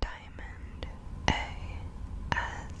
Diamond ASMR.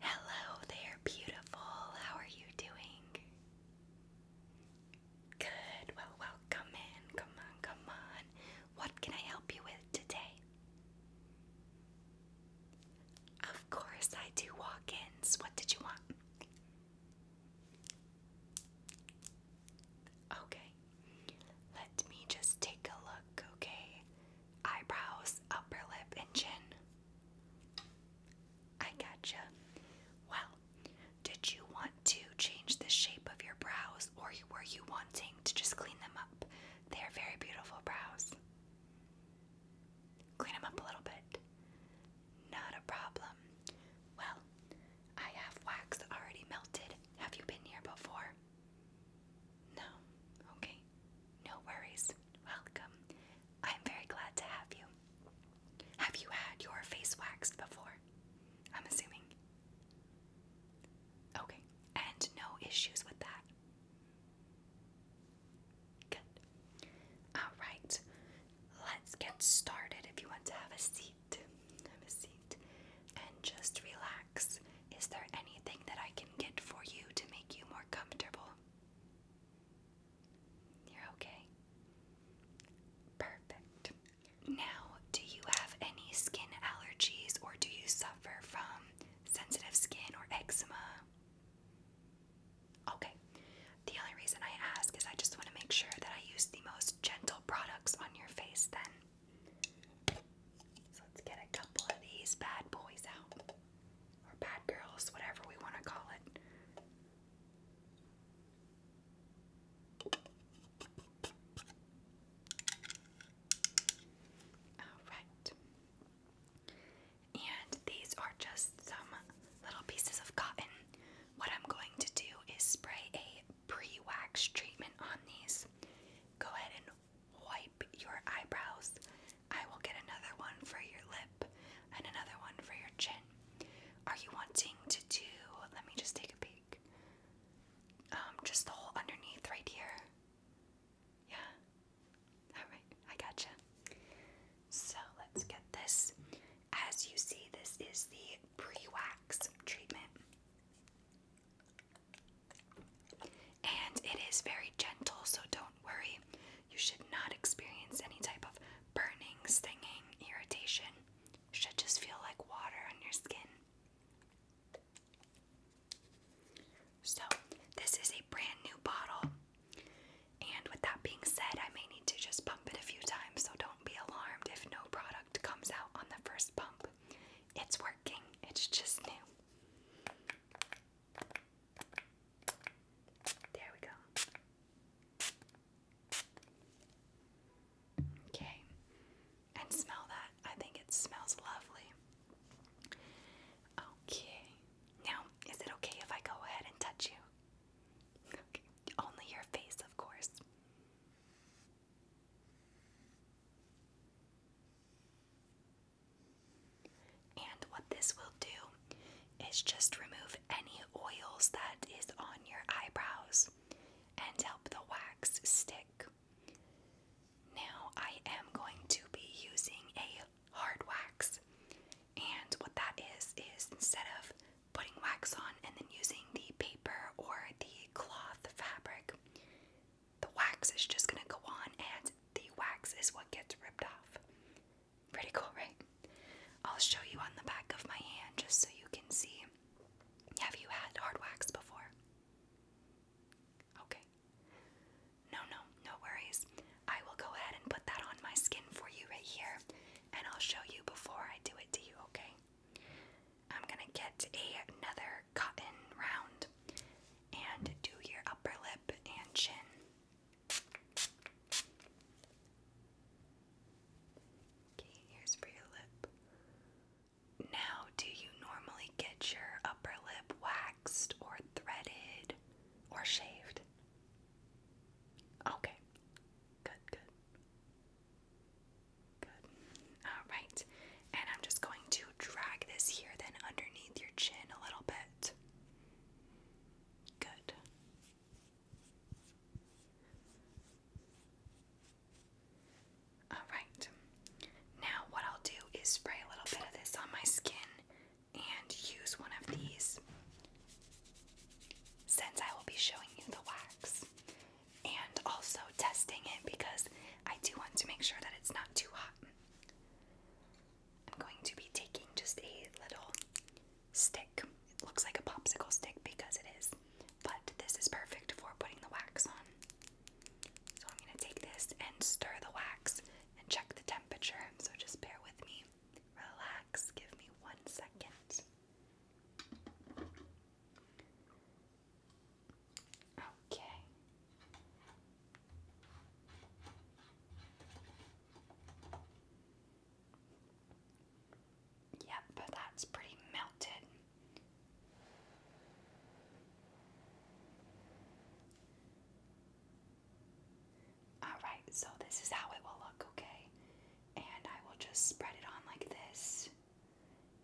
Hello there, beautiful. How are you doing? Good. Well, welcome in. Come on, come on. What can I help you with today? Of course, I do walk ins. What did you want? Okay, let me just take a look, okay? Eyebrows, upper lip, chin. I gotcha. Well, did you want to change the shape of your brows or were you wanting to just clean them up? They are very beautiful brows. Clean them up a little bit. Not a problem. Well, I have wax already melted. Have you been here before? No. Okay. No worries. Welcome. I'm very glad to have you. Have you had your face waxed before? I'm assuming. Okay. And no issues with that. Good. All right. Let's get started. If you want to have a seat, have a seat and just relax. Is there anything that I can get for you to make you more comfortable? You're okay. Perfect. Now, do you have any skin allergies or do you suffer from sensitive skin or eczema? Okay. The only reason I ask is I just want to make sure that I use the most gentle products on your face then. So let's get a couple of these bad boys out. Or bad girls, whatever we want to call it. Alright. And these are just some little pieces of cotton. What I'm going to do is spray a pre wax treatment on these. Go ahead and wipe your eyebrows. I will get another one for your lip and another one for your chin. Are you wanting to do, let me just take a peek, um, just the whole underneath right here? Yeah? Alright, I got you. So let's get this as you see, this is the pre-wax treatment. And it is very gentle, so don't worry. You should not experience any type of burning, stinging, irritation. Should just feel like water on your skin. So, this is a brand new bottle. And with that being said, I may need to just pump it a few times, so don't be alarmed if no product comes out on the first pump. It's working, it's just new. There we go. Okay, and smell that. I think it smells lovely. Okay, now is it okay if I go ahead and touch you? Only your face, of course. And what this will do is just remove any oils that is on your eyebrows and help the wax stick. Now I am going to be using a hard wax and what that is, is instead of putting wax on and then using the paper or the cloth fabric, the wax is just gonna go on and the wax is what gets ripped off. Pretty cool, right? I'll show you on the back of my hand just so you can see. Have you had hard wax before? Okay. No, no, no worries. I will go ahead and put that on my skin for you right here and I'll show you before I do it to you, okay? I'm gonna get another cotton round and do your upper lip and chin. Okay, here's for your lip. Now, do you normally get your upper lip waxed or threaded or shaved? Okay, Good, good. Good. Alright. And I'm just going to drag this here then underneath your chin a little bit. Good. Alright. Now, what I'll do is spray a little bit of this on my skin and use one of these since I will be showing you the wax and also testing it because I do want to make sure that it's not too hot. I'm going to be taking just a little stick. It looks like a popsicle stick because it is, but this is perfect for putting the wax on. So I'm going to take this and stir the wax and check the temperature. So just bear with me. Relax, give me one second. Okay. Yep, that's pretty melted. Alright, so this is how it will look, okay? And I will just spread it on like this.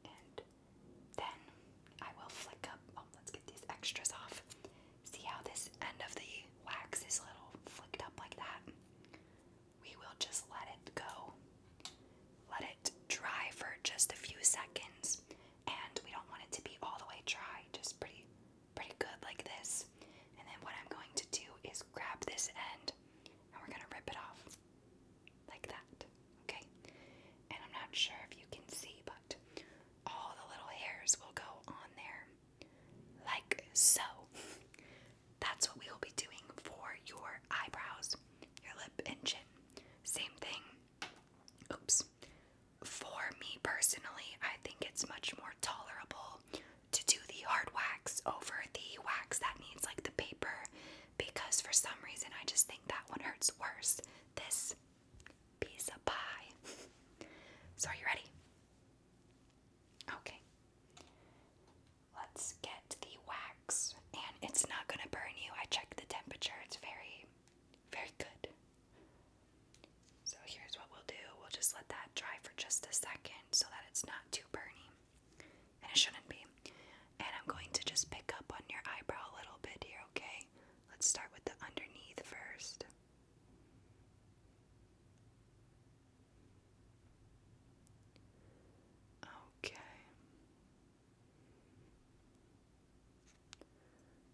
And then I will flick up. Oh, let's get these extras off. See how this end of the wax is little flicked up like that? We will just let it go. Let it dry for just a few seconds. And we don't want it to be all the way dry, just pretty pretty good like this. And then what I'm going to do is grab this end and we're gonna rip it off like that, okay? And I'm not sure if you can see, but all the little hairs will go on there like so. That's what we will be doing for your eyebrows, your lip, and chin. Same thing. Oops. For me personally, I think it's much more tolerable to do the hard wax over the wax that needs like the paper because for some reason I just think that one hurts worse. This piece of pie. so, are you ready? Okay. Let's get the wax, and it's not gonna burn you. I checked the temperature, it's very, very good. So here's what we'll do. We'll just let that dry for just a second so that it's not too burny. And it shouldn't be. And I'm going to just pick up on your eyebrow a little bit here, okay? Let's start with the underneath first. Okay.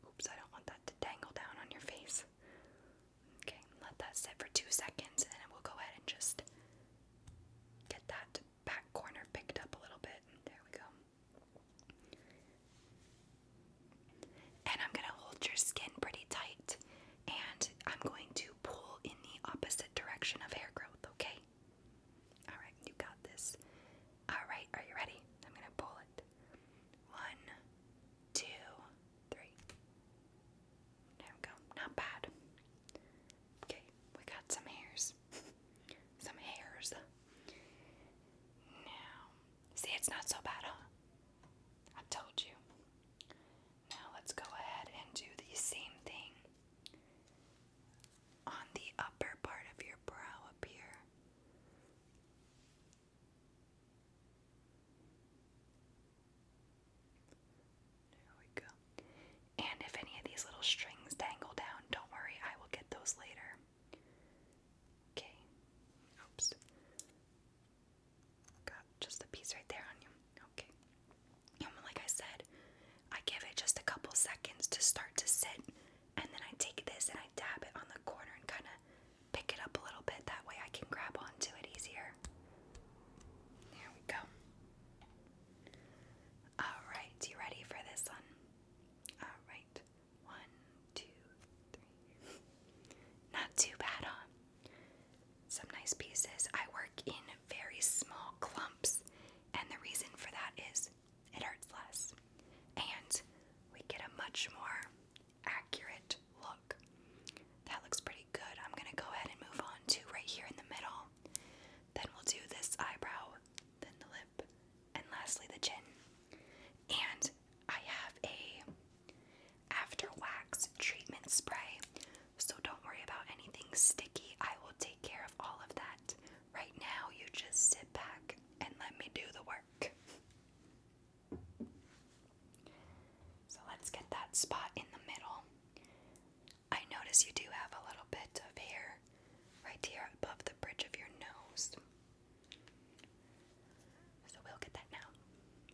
Oops, I don't want that to dangle down on your face. Okay, let that sit for two seconds and then we'll go ahead and just get that back corner picked up a little bit. There we go. And I'm going to hold your skin pretty tight and I'm going to pull in the opposite direction of hair growth, okay? Alright, you got this. Alright, are you ready? I'm going to pull it. One, two, three. There we go. Not bad. Okay, we got some hairs. some hairs. Now, see, it's not so bad, huh? I told you. Now, let's go ahead and do the same thing on the upper part of your brow up here. There we go. And if any of these little strings dangle down, don't worry, I will get those later. Okay. Oops. Got just a piece right there on you. Okay. And like I said, I give it just a couple seconds to start to sit, and then I take this and I dab it on the corner and kind of pick it up a little bit. That way I can grab onto it easier. There we go. Alright, you ready for this one? Alright. One, two, three. Not too bad, huh? Some nice pieces. I work in very small clumps, and the reason for that is it hurts less. And we get a much more accurate look. That looks pretty good. I'm gonna go ahead and move on to right here in the middle. Then we'll do this eyebrow, then the lip, and lastly the chin. And I have a after wax treatment spray, so don't worry about anything sticky. I will take care of all of that. Right now, you just sit back and let me do the work. So let's get that spot in the middle. I notice you do have a little bit of hair right here above the bridge of your nose. So we'll get that now.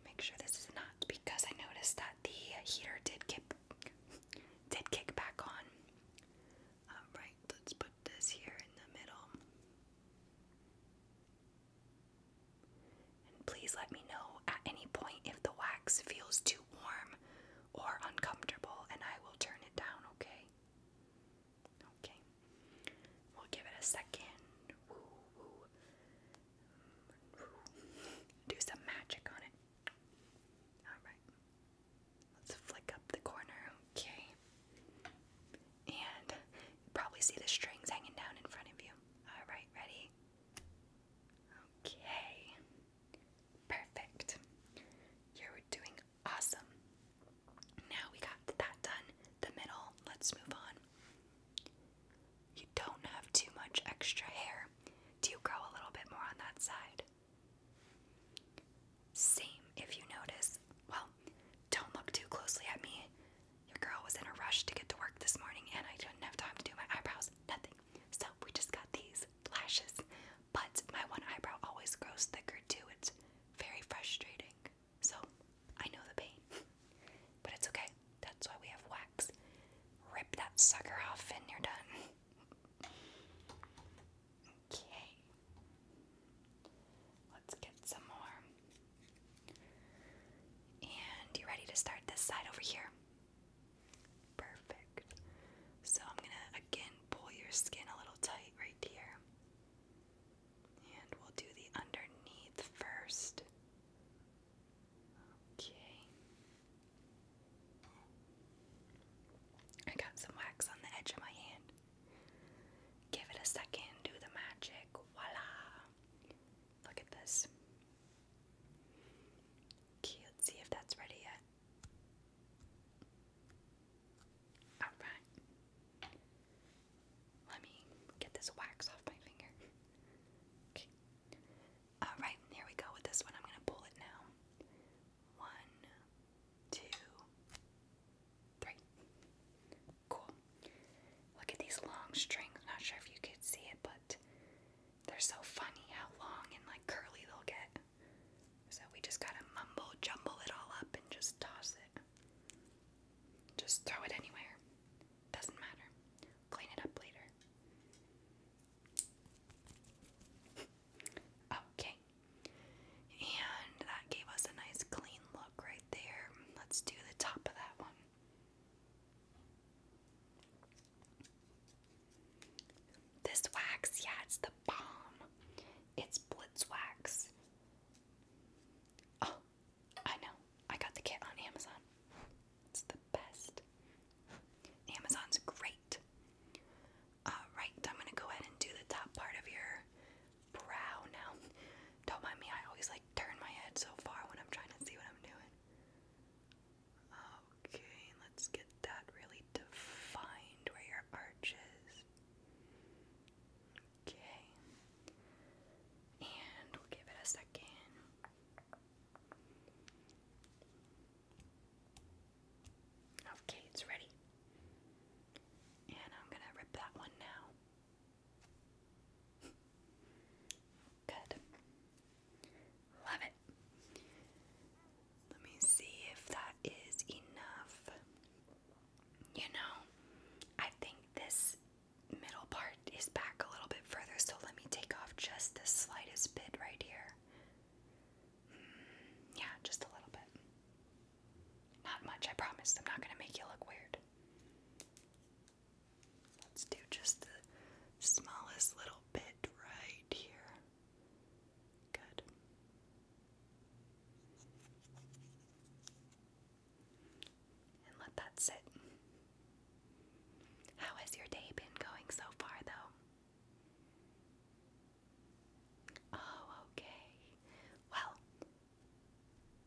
Make sure this is not because I noticed that the heater did kick did kick back on. Alright, let's put this here in the middle. And please let me know at any point if the wax feels too warm or uncomfortable, and I will turn it down, okay? Okay. We'll give it a second. Do some magic on it. Alright. Let's flick up the corner, okay? And you probably see the strings hanging down in front of you. Alright, ready? Okay. Perfect. You're doing awesome. Now we got that done, the middle. Let's move on. You don't have too much extra hair. Do you grow a little bit more on that side? Same, if you notice. Well, don't look too closely at me. Your girl was in a rush to get to work this morning and I didn't have time to do my eyebrows. Nothing. So we just got these lashes. But my one eyebrow always grows thicker too. It's very frustrating. So I know the pain. but it's okay. That's why we have wax. Rip that sucker off and you're done. okay. Let's get some more. And you ready to start this side over here? Perfect. So I'm going to again pull your skin a little tight right here. And we'll do the underneath first. Okay. I got some wax on the edge of my hand. Give it a second, do the magic. Voila! Look at this. Cute. See if that's ready yet. Alright. Let me get this wax off my finger. Okay. Alright, here we go with this one. I'm going to pull it now. One, two, three. Cool. Look at these long strings. Not sure if you could see it, but they're so funny how long and like curly they'll get. So we just gotta mumble, jumble it all up, and just toss it. Just throw it anywhere. Doesn't matter. Clean it up later. okay. And that gave us a nice clean look right there. Let's do the top of that one. This wax, yeah, it's the bomb. It's Blitz Wax. Oh, I know. I got the kit on Amazon. It's the best. Amazon's great. Alright, I'm gonna go ahead and do the top part of your brow now. Don't mind me, I always like turn my head so far when I'm trying to see what I'm doing. Okay, let's get that really defined where your arch Okay. And we'll give it a second. Okay, it's ready. And I'm gonna rip that one now. Good. Love it. Let me see if that is enough. You know, I think this middle part is back a little bit further, so let me take off just the slightest bit right here. Mm, yeah, just a little bit. Not much, I promise. I'm not going to make you look weird. Let's do just the smallest little bit right here. Good. And let that sit. How has your day been going so far, though? Oh, okay. Well,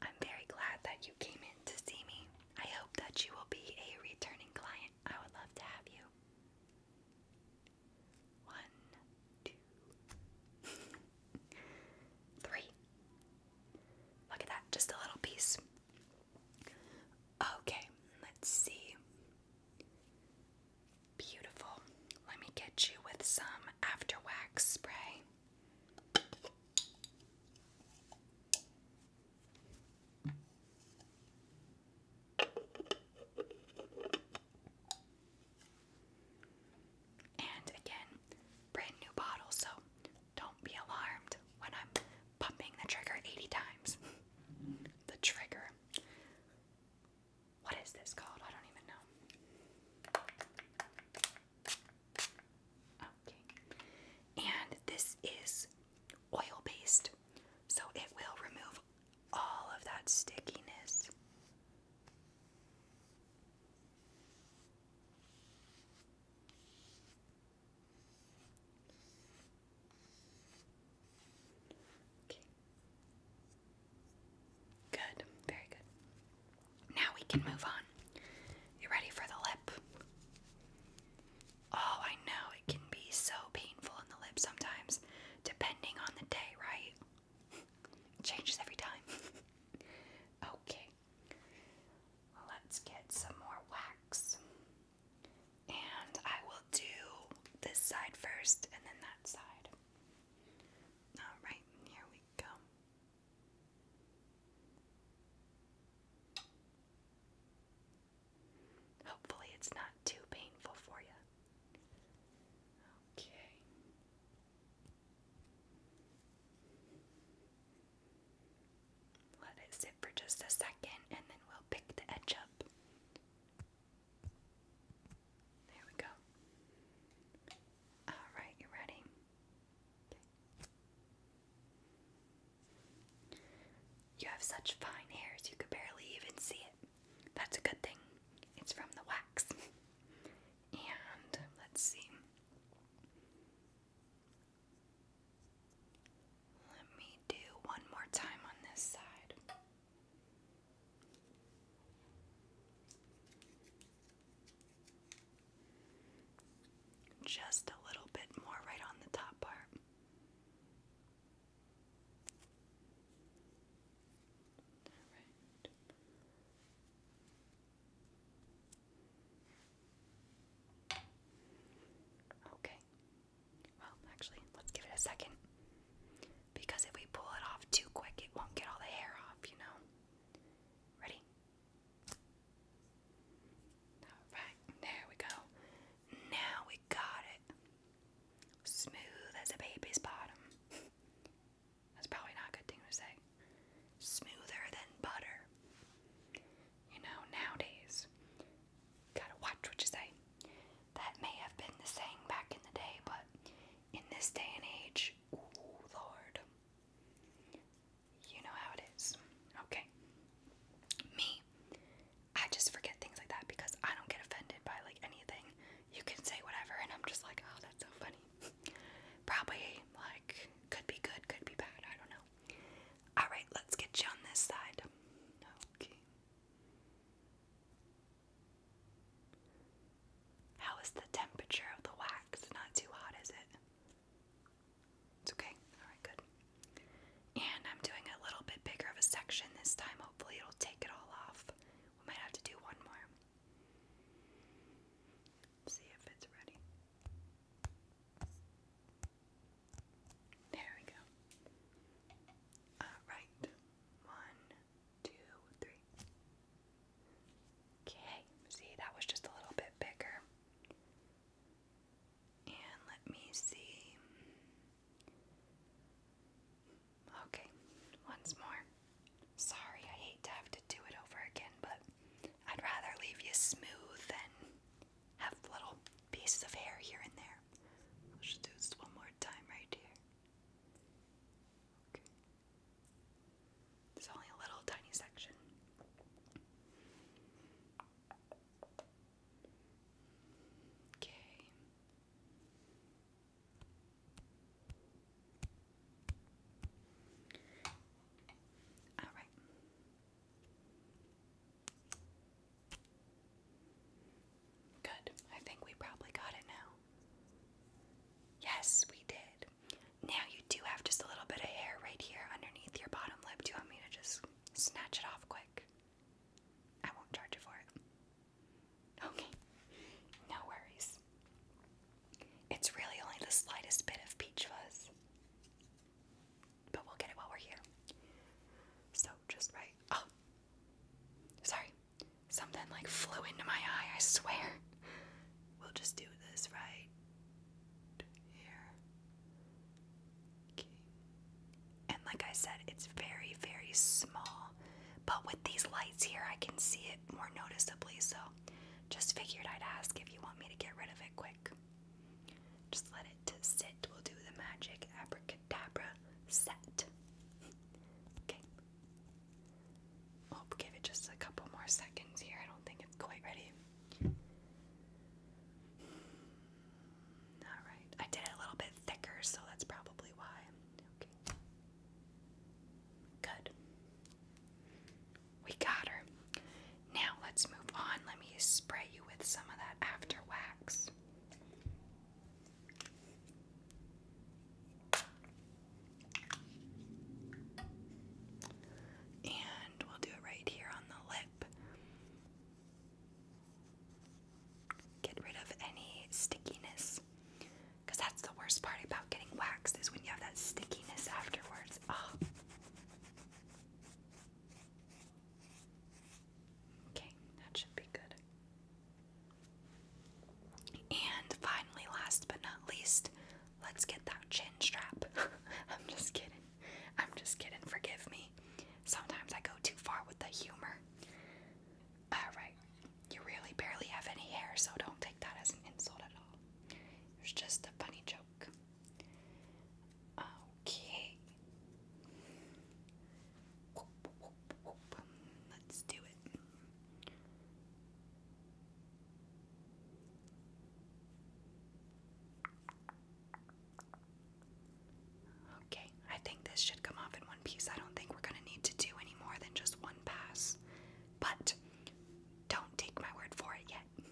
I'm very glad that you came in to see me. I hope that you will be a returning client. I would love to have you. One, two, three. Look at that, just a little piece. Okay, let's see. Beautiful. Let me get you with some after wax spray. And again, brand new bottle, so don't be alarmed when I'm pumping the trigger 80 times. the trigger. What is this called? I don't even know. Okay. And this is oil based, so it will remove all of that stickiness. Okay. Good, very good. Now we can move on. You ready for the lip? Oh, I know it can be so painful in the lip sometimes, depending on the day, right? Changes every time. okay. Let's get some more wax. And I will do this side first and then that side. Alright, here we go. Hopefully, it's not too painful for you. Okay. Let it sit for just a second and then we'll pick the edge up. There we go. Alright, you ready? You have such fine hairs you could barely even see it. That's a good thing. It's from the wax. and let's see. Let me do one more time on this side. Just a little bit more right on the top part. All right. Okay. Well, actually, let's give it a second. Because if we pull it off too quick, it won't get all the hair off, you know? Ready? Alright, there we go. Now we got it. Smooth as a baby's bottom. That's probably not a good thing to say. Smoother than butter. You know, nowadays, gotta watch what you say. That may have been the saying back in the day, but in this day and age, ooh, Lord. You know how it is. Okay. Me, I just forget things like that because I don't get offended by like anything. You can say whatever, and I'm just like, oh, that's so funny. Probably like could be good, could be bad. I don't know. All right, let's get you on this side. Okay. How is the temperature of the wax? Not too hot, is it? It's okay. Alright, good. And I'm doing a little bit bigger of a section this time. Hopefully, it'll take it all off. We might have to do one more. See if it's ready. There we go. Alright. One, two, three. Okay. See, that was just a little bit bigger. And let me see. Okay, once more. Sorry, I hate to have to do it over again, but I'd rather leave you smooth than have little pieces of hair here and there. I'll just do this one more time right here. Okay. There's only a little tiny section. Okay. All right. Good. I think we probably got it now. Yes, we did. Now you do have just a little bit of hair right here underneath your bottom lip. Do you want me to just snatch it off quick? I won't charge you for it. Okay, no worries. It's really only the slightest bit of peach fuzz. But we'll get it while we're here. So just right. Oh, sorry. Something like flew into my eye, I swear. We'll just do this right here. And like I said, it's very, very small. But with these lights here, I can see it more noticeably. So just figured I'd ask if you want me to get rid of it quick. Just let it sit. We'll do the magic abracadabra set. Okay. We'll give it just a couple more seconds here. I don't think it's quite ready. Alright, I did it a little bit thicker, so that's probably why. Okay. Good. We got her. Now let's move on. Let me spray you with some of that after wax and we'll do it right here on the lip. Get rid of any stickiness. Because that's the worst part about getting waxed is when you have that stickiness afterwards. Ah. Okay, that should be good. And finally, last but not least, Let's get that chin strap. I'm just kidding. I'm just kidding. Forgive me. Sometimes I go too far with the humor. Alright, you really barely have any hair, so don't take that as an insult at all. It was just a funny joke. Okay. Let's do it. Okay, I think this should come off in one piece. I don't think we're going to need to do any more than just one pass. But don't take my word for it yet.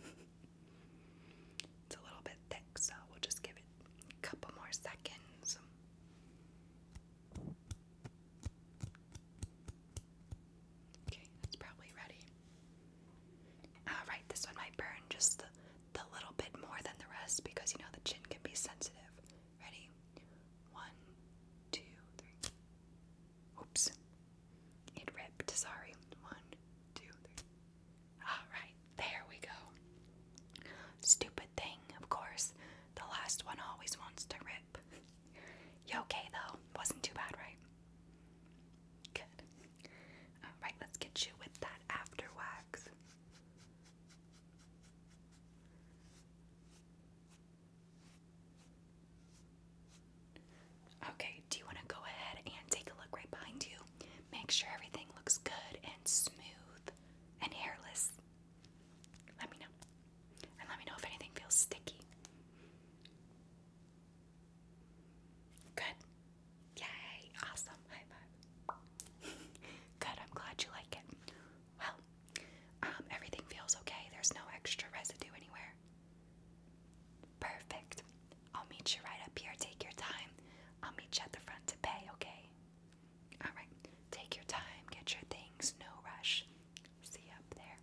it's a little bit thick, so we'll just give it a couple more seconds. Okay, that's probably ready. Alright, this one might burn just the little bit more than the rest because you know the chin can be sensitive. Ready? One, two, three. Oops. It ripped, sorry. One, two, three. Alright, there we go. Stupid thing, of course. The last one always wants to rip. you okay though? Wasn't too bad, right? Good. Alright, let's get you with that after wax. Okay, do you want to go ahead and take a look right behind you? Make sure everything looks good and smooth and hairless. Let me know. And let me know if anything feels sticky. Good. Yay. Awesome. High five. Good. I'm glad you like it. Well, um, everything feels okay. There's no extra residue anywhere. Perfect. I'll meet you right up here. Take your time. I'll meet you at the front to pay, okay? Alright. Take your time. Get your things. No rush. See you up there.